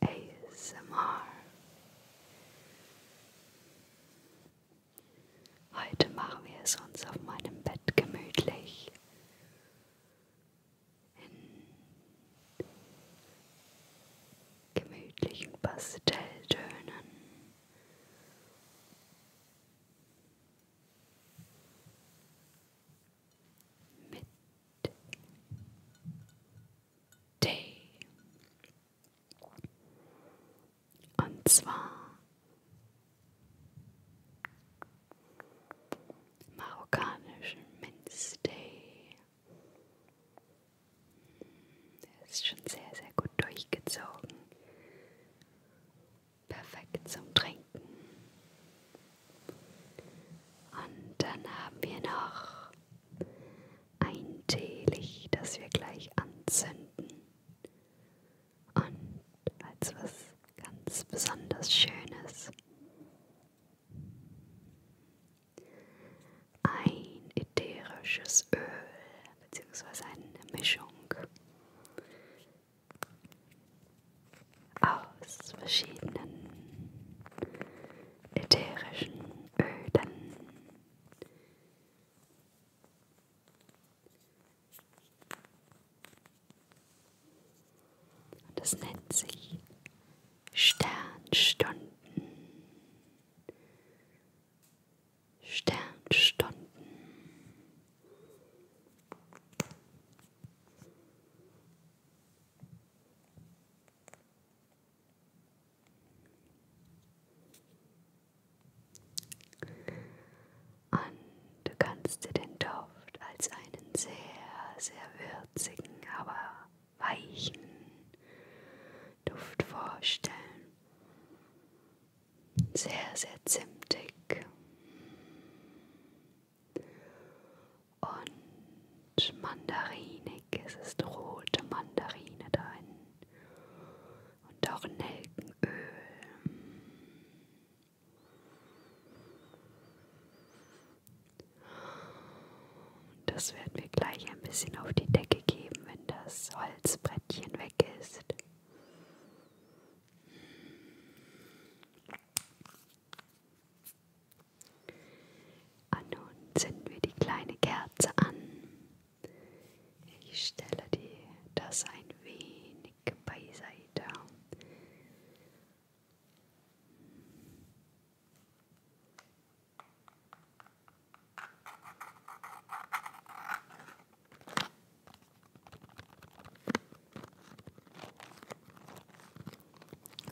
ASMR. Heute machen wir es uns auf meinem Bett gemütlich. In gemütlichen Pastelltönen. Mit Day. Und zwar marokkanischen Minztee. Der ist schon sehr, sehr gut durchgezogen. Perfekt zum Trinken. Und dann haben wir noch ein Teelicht, das wir gleich anzünden. Und als was ganz besonders Schönes ein ätherisches Öl beziehungsweise eine Mischung aus verschiedenen ätherischen Ölen. Und das nennt sich Sternstunden. Sternstunden. Und du kannst dir den Duft als einen sehr, sehr würzigen, aber weichen Duft vorstellen. Sehr, sehr zimtig und mandarinig. Es ist rote Mandarine darin und auch Nelkenöl. Das werden wir gleich ein bisschen auf die Decke geben, wenn das Holzbrettchen weg ist. Und nun zünden wir die kleine Kerze an. Ich stelle dir das ein wenig beiseite.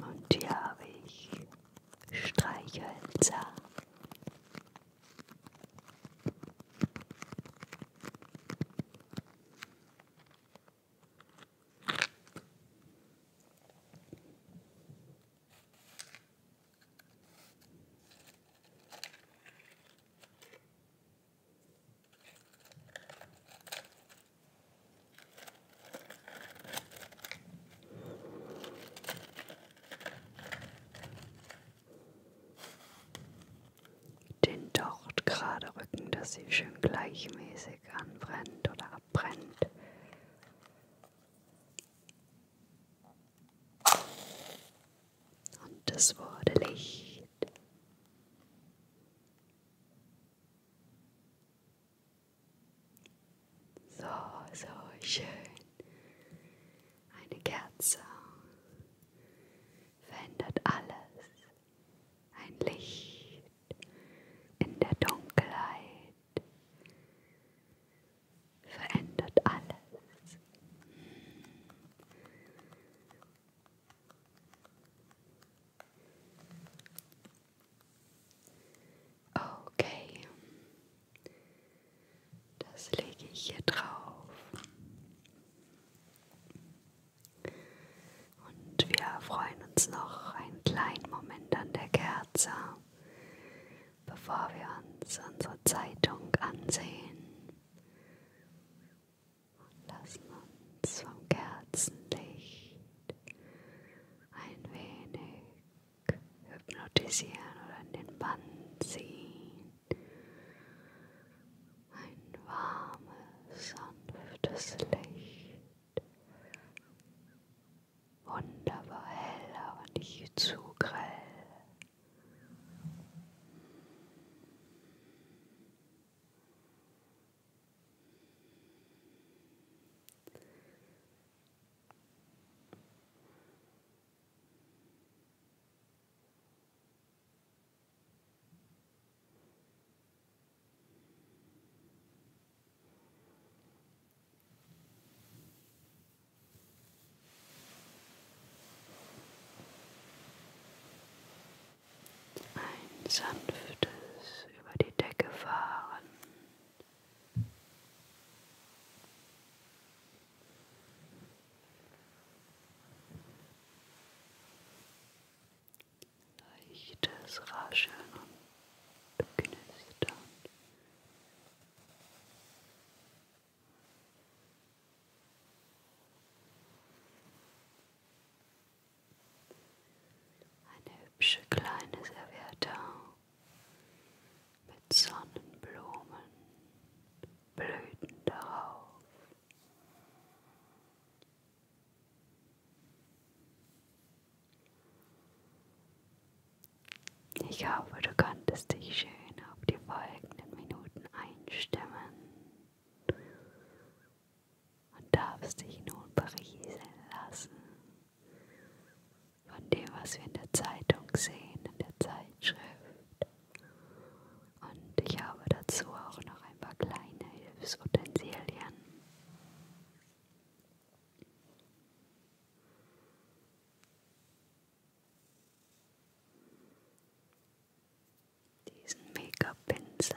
Und hier habe ich Streichhölzer den Docht gerade rücken, dass sie schön gleichmäßig anbrennt oder abbrennt. Und es wurde Licht. So, so schön. Eine Kerze verändert alles. Ein Licht in der Dunkelheit verändert alles. Okay, das lege ich hier drauf. Und wir freuen uns noch einen kleinen Moment an der Kerze, bevor wir uns unsere Zeitung ansehen. Und lassen uns vom Kerzenlicht ein wenig hypnotisieren oder in den Bann ziehen. Ein warmes, sanftes Licht. Wunderbar hell, aber nicht zu grell. Ein sanftes über die Decke fahren Leichtes Rascheln und Knistern. Eine hübsche kleine Serviette mit Sonnenblumen, Blüten darauf. Ich hoffe, du konntest dich schön auf die folgenden Minuten einstimmen und darfst dich nun berieseln lassen von dem, was wir in der Zeitung sehen, in der Zeitschrift. Und ich habe dazu auch noch ein paar kleine Hilfsutensilien. Diesen Make-up-Pinsel.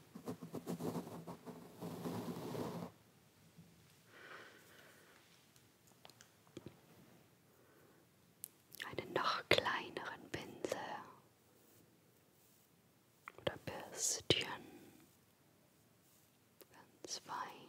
einen noch kleineren Pinsel oder Bürstchen ganz fein.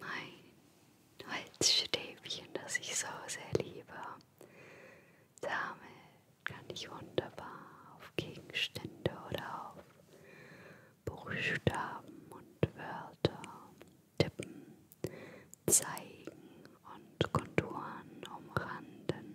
mein Holzstäbchen, das ich so sehr liebe. Damit kann ich wunderbar auf Gegenstände oder auf Buchstaben und Wörter tippen, zeigen und Konturen umranden.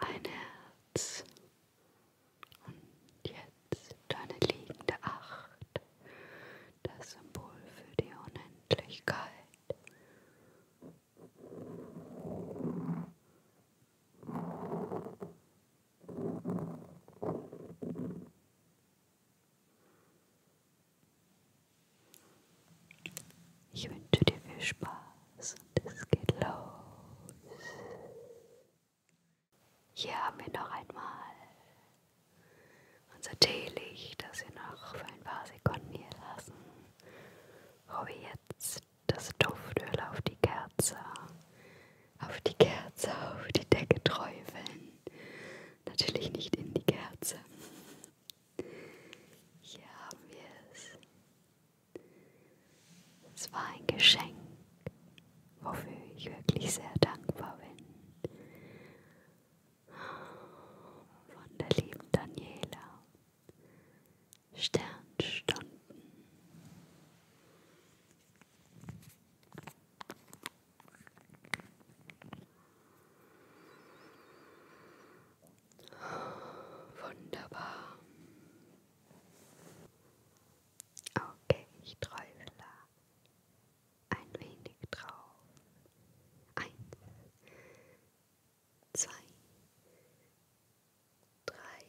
Ein Herz und jetzt deine liegende Acht, das Symbol für die Unendlichkeit. Ich wünsche dir viel Spaß und es geht los. Hier haben wir noch einmal unser Teelicht, das wir noch für ein paar Sekunden hier lassen. Robi oh, jetzt das Duftöl auf die Kerze, auf die Kerze, auf die Decke träufeln. Natürlich nicht in die Kerze. Hier haben wir es. Es war ein Geschenk, wofür ich wirklich sehr dankbar bin. Von der lieben Daniela. Sternstunden. Wunderbar. Okay, ich träufle ein wenig drauf. Eins, zwei, drei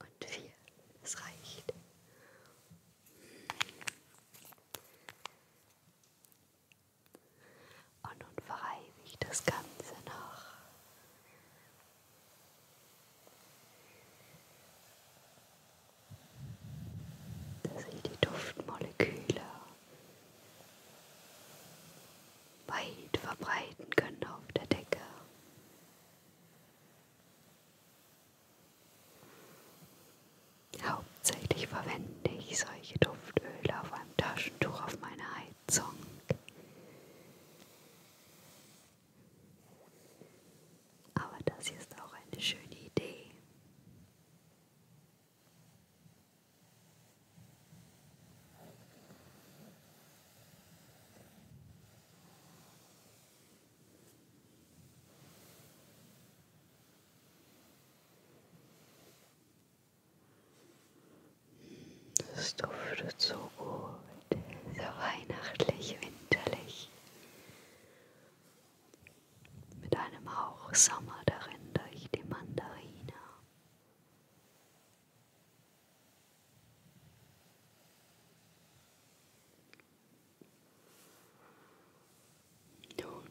und vier. Es reicht. Und nun verreinige das Ganze noch. dass ich die Duftmoleküle weit verbreiten können auf der Decke. Hauptsächlich verwende ich solche Duftöle auf einem Taschentuch auf meiner Heizung. Aber das hier ist auch eine schöne Idee. Es duftet so gut, so weihnachtlich, winterlich, mit einem Hauch Sommer darin durch die Mandarine. Nun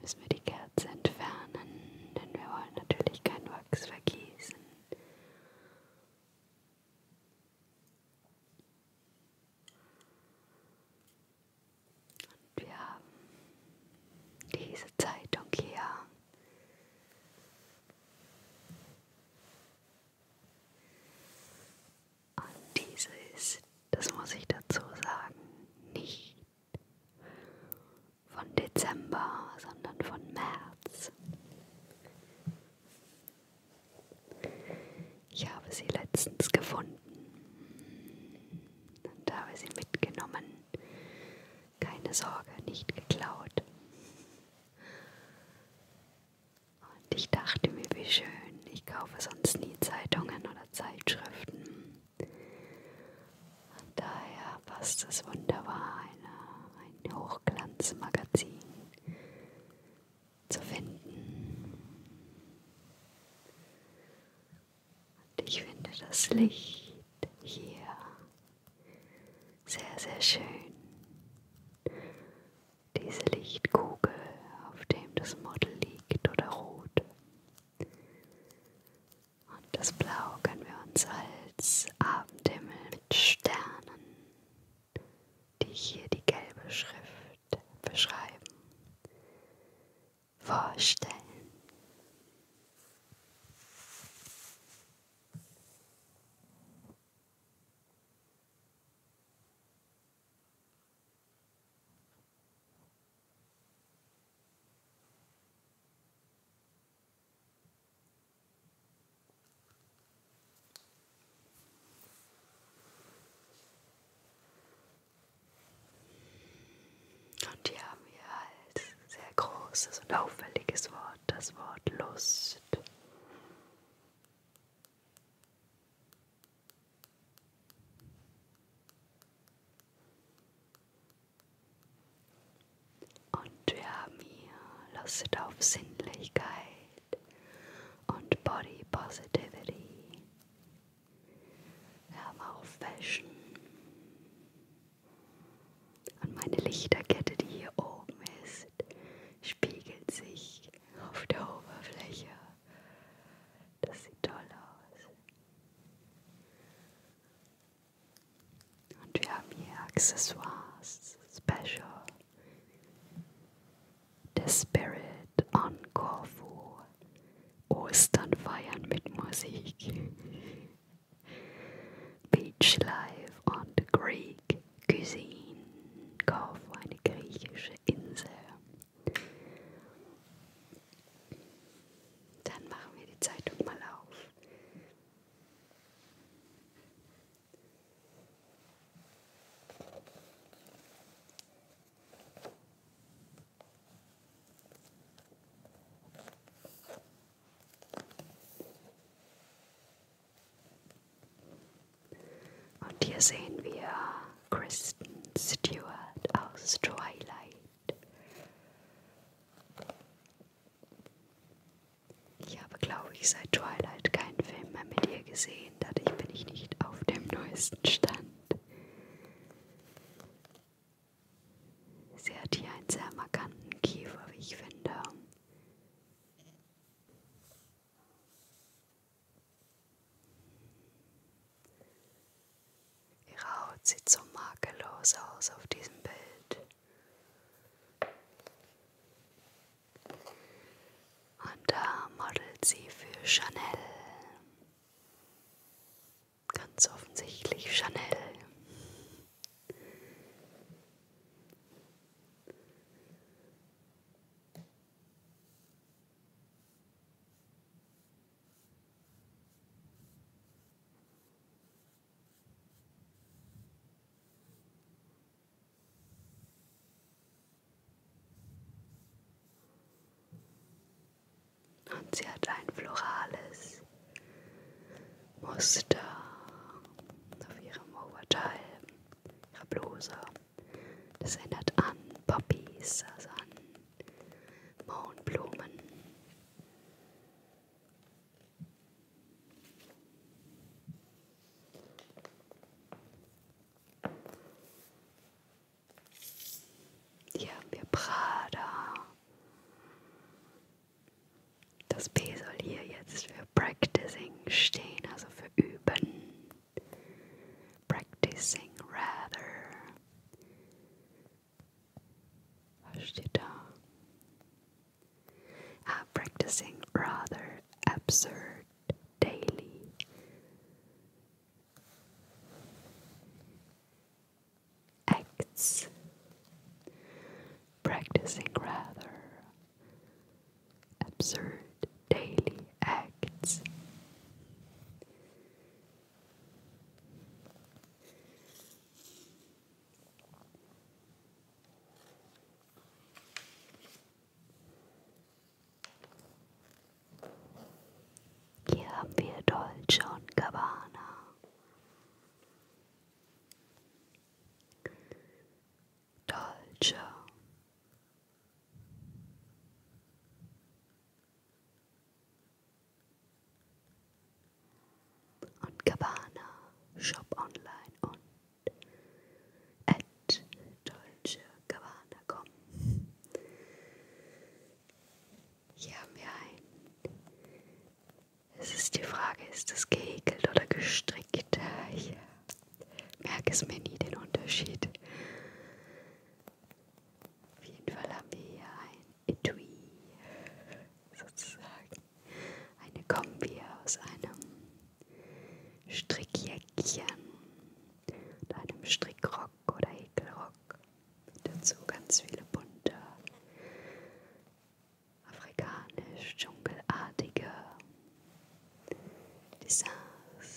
müssen wir die Kerze entfernen, denn wir wollen natürlich kein Wachs vergießen. Und wir haben diese Zeitung hier. Und diese ist, das muss ich dazu sagen, nicht von Dezember, sondern von März. Ich habe sie letztens gefunden und habe sie mitgenommen. Keine Sorge, nicht geklaut. Und ich dachte mir, wie schön, ich kaufe sonst nie Zeitungen oder Zeitschriften. Und daher passt es wunderbar, eine, ein Hochglanzmagazin zu finden. Und ich finde das Licht hier sehr, sehr schön. Diese Lichtkugel, auf dem das Model liegt oder rot. Und das Blau können wir uns als Abendhimmel mit Sternen, die hier die gelbe Schrift beschreiben, vorstellen. Und hier haben wir als sehr großes und auffälliges Wort das Wort Lust. Und wir haben hier Lust auf Sinnlichkeit und Body Positivity. Wir haben auch Fashion. Und meine Lichterkette, die hier oben ist, spiegelt sich auf der Oberfläche. Das sieht toll aus. Und wir haben hier Accessoires, Special, The Spirit on Corfu, Ostern feiern mit Musik. Beach Life on the Greek Cuisine. Kauf eine griechische Insel. Dann machen wir die Zeitung mal Und hier sehen wir Kristen Stewart aus Twilight. Ich habe, glaube ich, seit Twilight keinen Film mehr mit ihr gesehen, dadurch bin ich nicht auf dem neuesten Stand. Sie hat hier einen sehr markanten Kiefer, wie ich finde. Ihre Haut sieht so makellos aus auf diesem Bild. Und da modelt sie für Chanel. Ganz offensichtlich Chanel. Und sie hat ein florales Muster auf ihrem Oberteil, ihrer Bluse. Das erinnert an Poppies, also an Mohnblumen. Hier haben wir Prada, das B soll hier jetzt für Practicing stehen, also für Üben. Practicing rather. Was steht da? Ah, practicing rather absurd daily. acts, practicing rather absurd daily acts. Hier haben wir Dolce und Dolce und Gabbana Shop online und at Dolce Gabbana kommen. Hier haben wir ein es ist die Frage, ist es gehäkelt oder gestrickt? Ich merke es mir nie den Unterschied. Auf jeden Fall haben wir hier ein Etui, sozusagen eine Kombi aus einem Strickjäckchen und einem Strickrock oder Häkelrock. Dazu ganz viele bunte afrikanisch-dschungelartige Designs.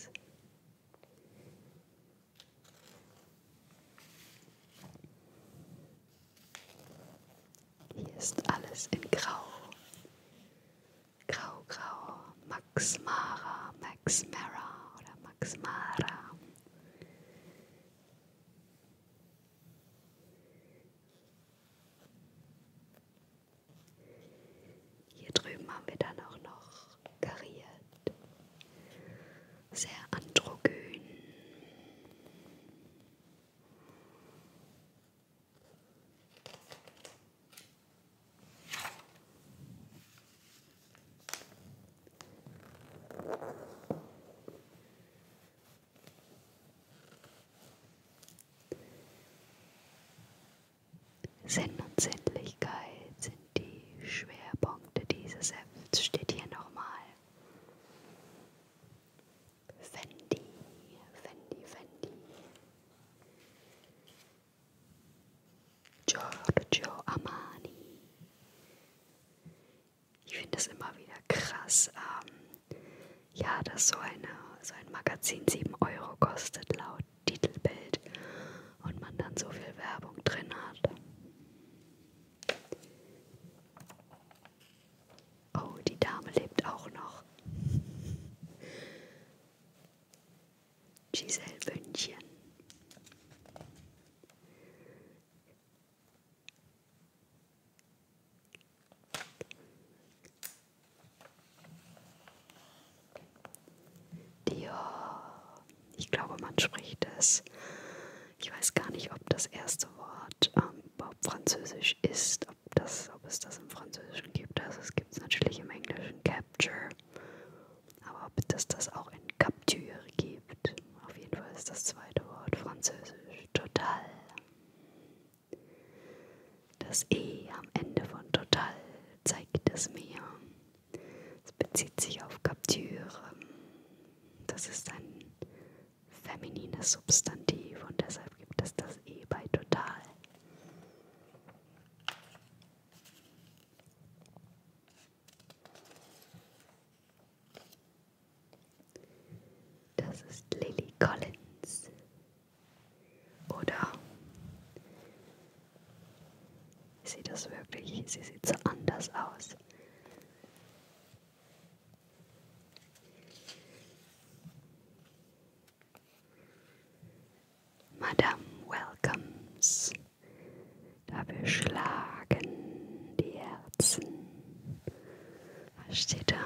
Hier ist alles in Grau. Grau, Grau, Max Mara, Max Mara oder Max Mara. Hier drüben haben wir dann auch noch kariert. Sehr androgyn. Sinn und Sinnlichkeit sind die Schwerpunkte dieses Hefts, steht hier nochmal. Fendi, Fendi, Fendi. Giorgio Armani ich finde es immer wieder krass, ähm, ja, dass so, eine, so ein Magazin 7 Euro kostet laut Titelbild und man dann so viel Werbung drin hat. Oh, die Dame lebt auch noch. Giselle Bündchen. Dior. Ich glaube, man spricht es. Ich weiß gar nicht, ob das erste Wort ähm, französisch ist, ob, das, ob es das im Französischen gibt. Also es gibt es natürlich im Englischen Capture. Aber ob es das auch in Capture gibt. Auf jeden Fall ist das zweite Wort französisch total. Das E am Ende von total zeigt es mir. Es bezieht sich auf Capture. Das ist ein feminines Substantiv und deshalb gibt es das E bei total. Das ist Lily Collins. Oder sieht das wirklich, sie sieht so anders aus. Madame Welcomes. Dafür schlagen die Herzen. Was steht da?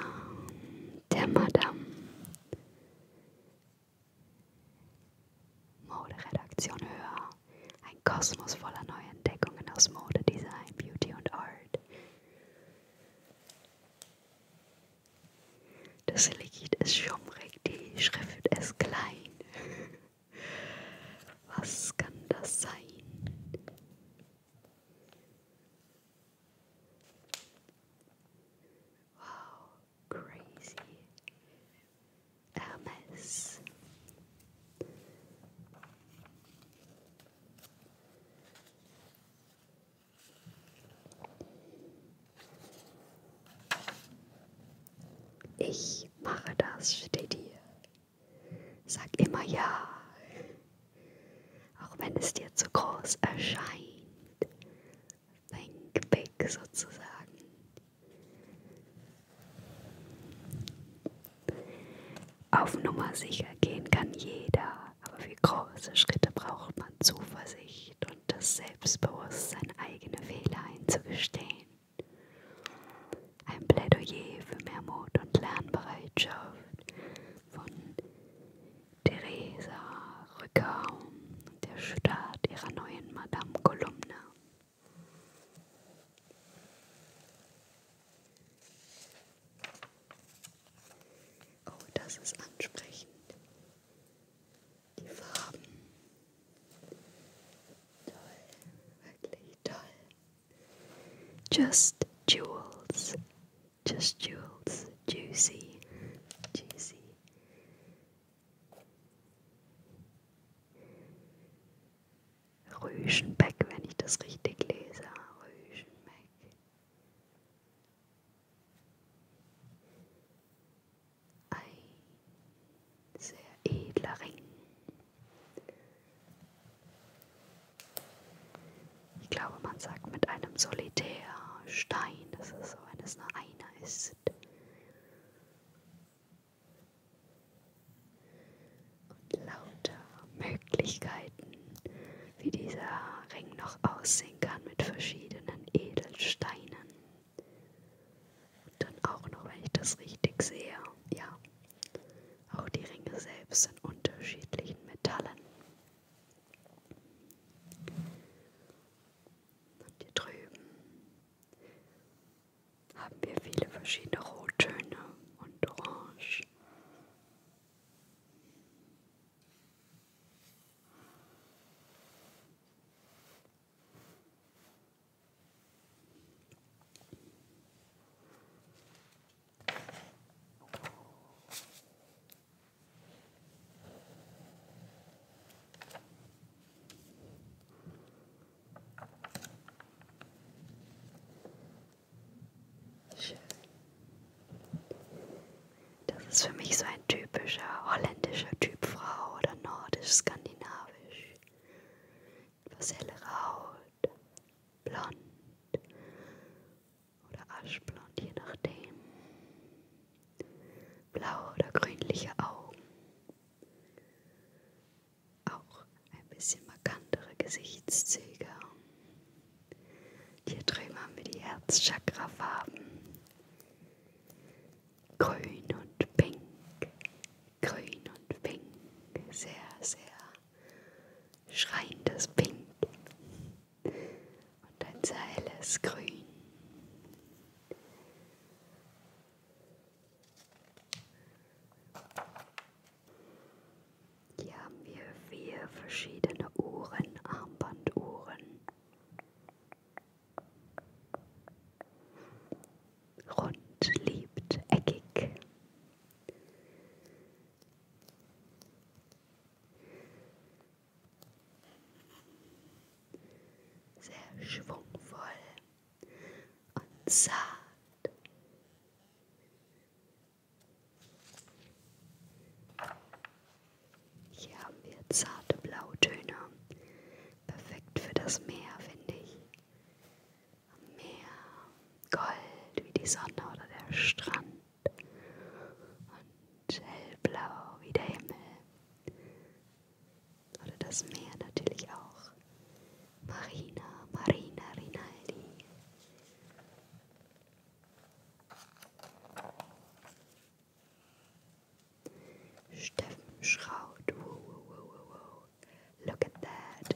Der Madame. Moderedaktion höher. Ein Kosmos voller neuer Entdeckungen aus Mode, Design, Beauty und Art. Das Liquid ist schummrig, die Schrift ist klein. Was kann das sein? Wow, crazy. Hermes. Ich mache das, steht hier. Sag immer ja, auch wenn es dir zu groß erscheint. Think big sozusagen. Auf Nummer sicher gehen kann jeder, aber für große Schritte braucht man Zuversicht und das Selbstbewusstsein, eigene Fehler einzugestehen. Ein Plädoyer für mehr Mut und Lernbereitschaft von Theresa Rückau, der Start ihrer neuen Madame Kolumne. Oh, das ist ansprechend. Die Farben. Toll, wirklich toll. Just jewels. Just jewels. Juicy. Juicy. Rüschenbeck, wenn ich das richtig lese. Rüschenbeck. Ein sehr edler Ring. Ich glaube, man sagt mit einem Solitärstein, das ist so, wenn es nur einer ist. Und lauter Möglichkeiten, wie dieser Ring noch aussehen kann mit verschiedenen Edelsteinen. Und dann auch noch, wenn ich das richtig sehe, ja, auch die Ringe selbst sind unterschiedlichen Metallen. Und hier drüben haben wir viele verschiedene Rottöne und Orange. Schön. Das ist für mich so ein typischer holländischer Typ Frau oder nordisch-skandinavisch. Etwas hellere Haut, blond, oder aschblond, je nachdem. Blaue oder grünliche Augen. Auch ein bisschen markantere Gesichtszüge. Hier drüben haben wir die Herzchakrafarben. Grün und pink. Grün und pink. Sehr, sehr schreiendes Pink und ein sehr helles Grün. Hier haben wir vier verschiedene Uhren, Armbanduhren. Rund, liebt, eckig. Sehr schwungvoll und zart. Hier haben wir zarte Blautöne. Perfekt für das Meer, finde ich. Am Meer, Gold wie die Sonne oder der Strand und hellblau wie der Himmel oder das Meer natürlich auch. Marina, Marina Rinaldi. Steffen Schraut. Whoa, whoa, whoa, whoa. Look at that.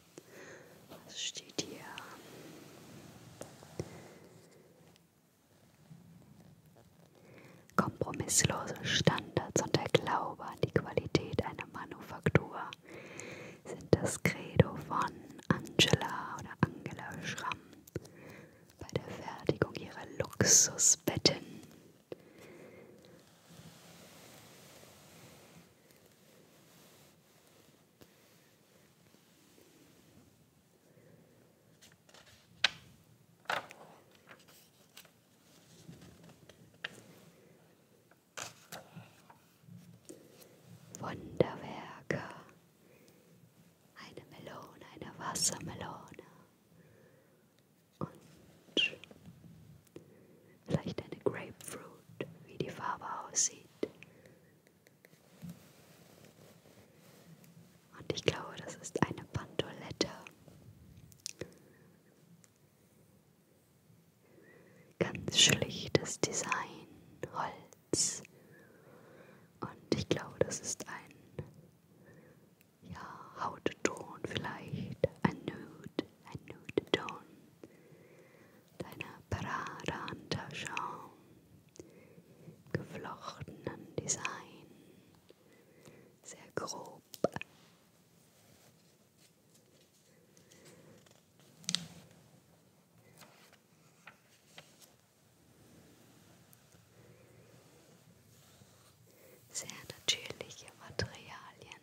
Was steht hier? Kompromisslose Standards und der Glaube an die Qualität einer Manufaktur sind das Credo von Angela oder Angela Schramm bei der Fertigung ihrer Luxusbetten. Wunderwerke. Eine Melone, eine Wassermelone. Und vielleicht eine Grapefruit, wie die Farbe aussieht. Und ich glaube, das ist eine Pantolette. Ganz schlichtes Design, Holz. Und ich glaube, das ist ein ja, Hautton vielleicht, ein Nude, ein Nude-Ton deiner Paradeunterschau, geflochtenen Design, sehr grob. Sehr natürliche Materialien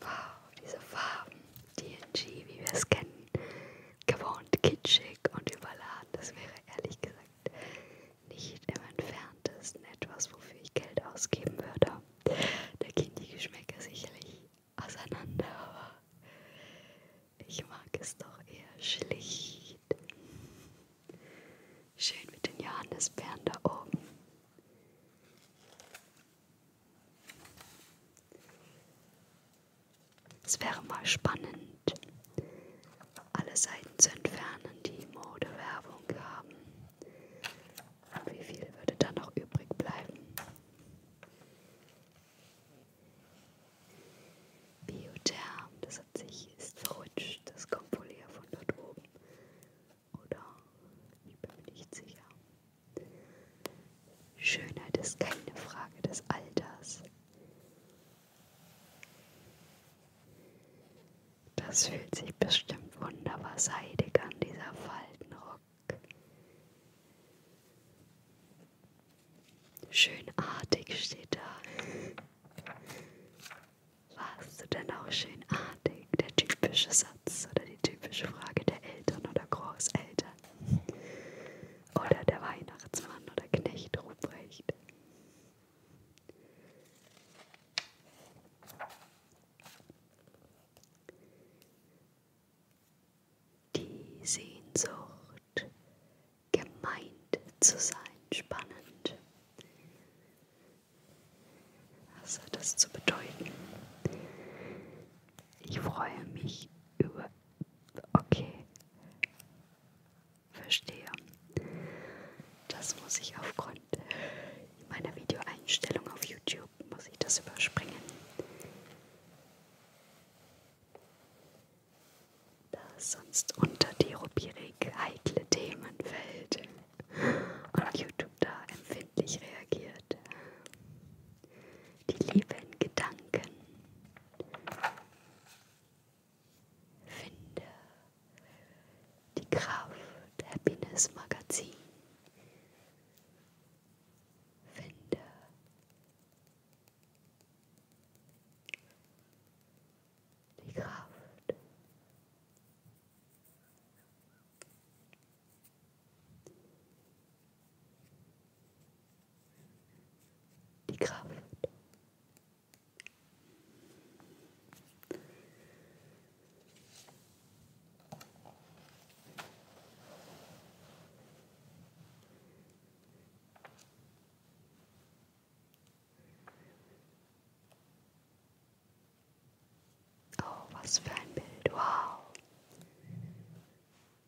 Wow, diese Farben, DNG, wie wir es kennen, gewohnt kitschig und überladen. Das wäre ehrlich gesagt nicht im entferntesten etwas, wofür ich Geld ausgeben würde. Da gehen die Geschmäcker sicherlich auseinander, aber ich mag es doch eher schlicht. Schön mit den Johannisbeeren da oben. Es wäre mal spannend, alle Seiten zu entfernen, die Modewerbung haben. Wie viel würde da noch übrig bleiben? Biotherm, das hat sich ist verrutscht, das kommt wohl eher von dort oben. Oder? Ich bin mir nicht sicher. Schönheit ist keine Frage des Alters. Das fühlt sich bestimmt wunderbar seidig an, dieser Faltenrock. Schönartig steht da. Warst du denn auch schönartig? Der typische Satz oder die typische Frage der Eltern oder Großeltern. Oder der Weihnachtsmann oder Knecht Ruprecht. Die Sehnsucht, gemeint zu sein, spannend. Was hat das zu bedeuten? Ich freue mich über Okay. Verstehe. Das muss ich aufgrund meiner Videoeinstellung auf YouTube, muss ich das überspringen. Da sonst unter die Rubrik heikle Themen fällt und YouTube da empfindlich reagiert. Die lieben Gedanken. Finde die Kraft Happiness Magazin. Finde die Kraft die Kraft. Oh, was für ein Bild. Wow.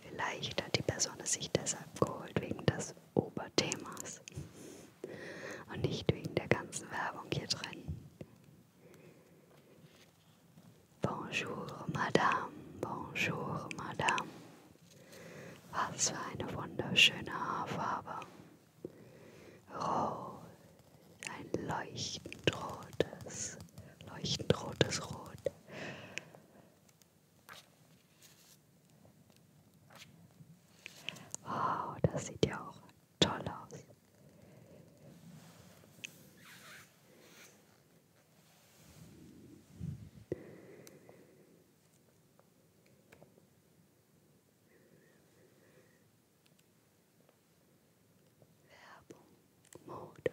Vielleicht hat die Person es sich deshalb geholt wegen des Oberthemas und nicht wegen der ganzen Werbung hier drin. Bonjour, Madame, bonjour, Madame. Was für eine wunderschöne Haarfarbe. Rot, ein leuchtend rotes, leuchtend rotes Rot. Wow, das sieht ja auch toll aus. Werbung, Mode,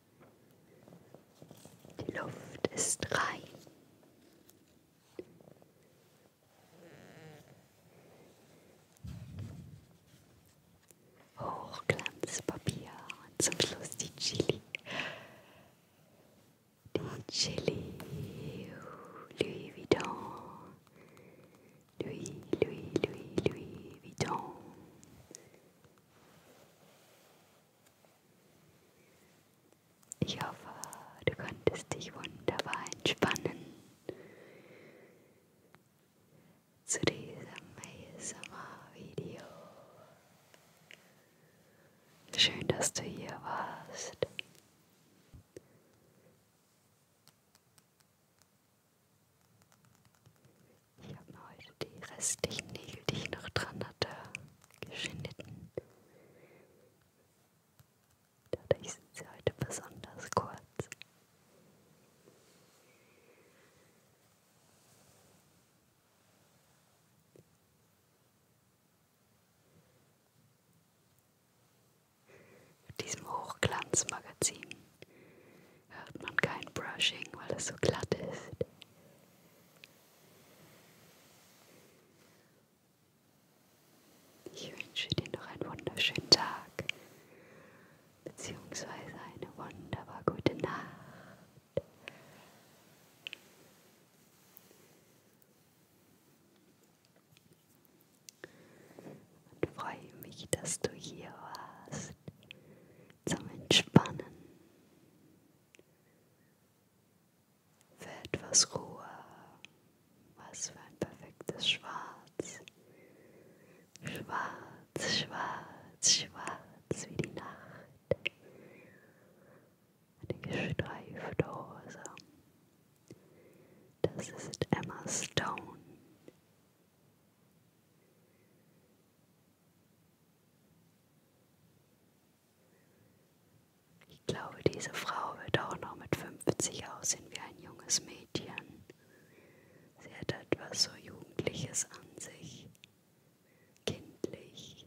Die Luft ist rein. Hochglanzpapier und zum Schluss die Chili. Die Chili Louis Vuitton. Louis, Louis, Louis, Louis Vuitton. Ich hoffe, du konntest dich wunderbar entspannen zu diesem ASMR-Video. Schön, dass du hier warst. Ich habe mir heute die restlichen Nägel, die ich noch dran hatte, geschnitten. Dadurch sind sie heute besonders kurz. Mit diesem Hochglanzmagazin hört man kein Brushing, weil es so glatt ist. Ich wünsche dir noch einen wunderschönen Tag, beziehungsweise eine wunderbar gute Nacht. Und freue mich, dass du hier warst zum Entspannen. Für etwas Ruhe. Was für ein perfektes Schwarz. Schwarz, schwarz, schwarz wie die Nacht. Eine gestreifte Hose. Das ist Emma Stone. Ich glaube, diese Frau wird auch noch mit 50 aussehen wie ein junges Mädchen. Sie hat etwas so Jugendliches an sich, kindlich.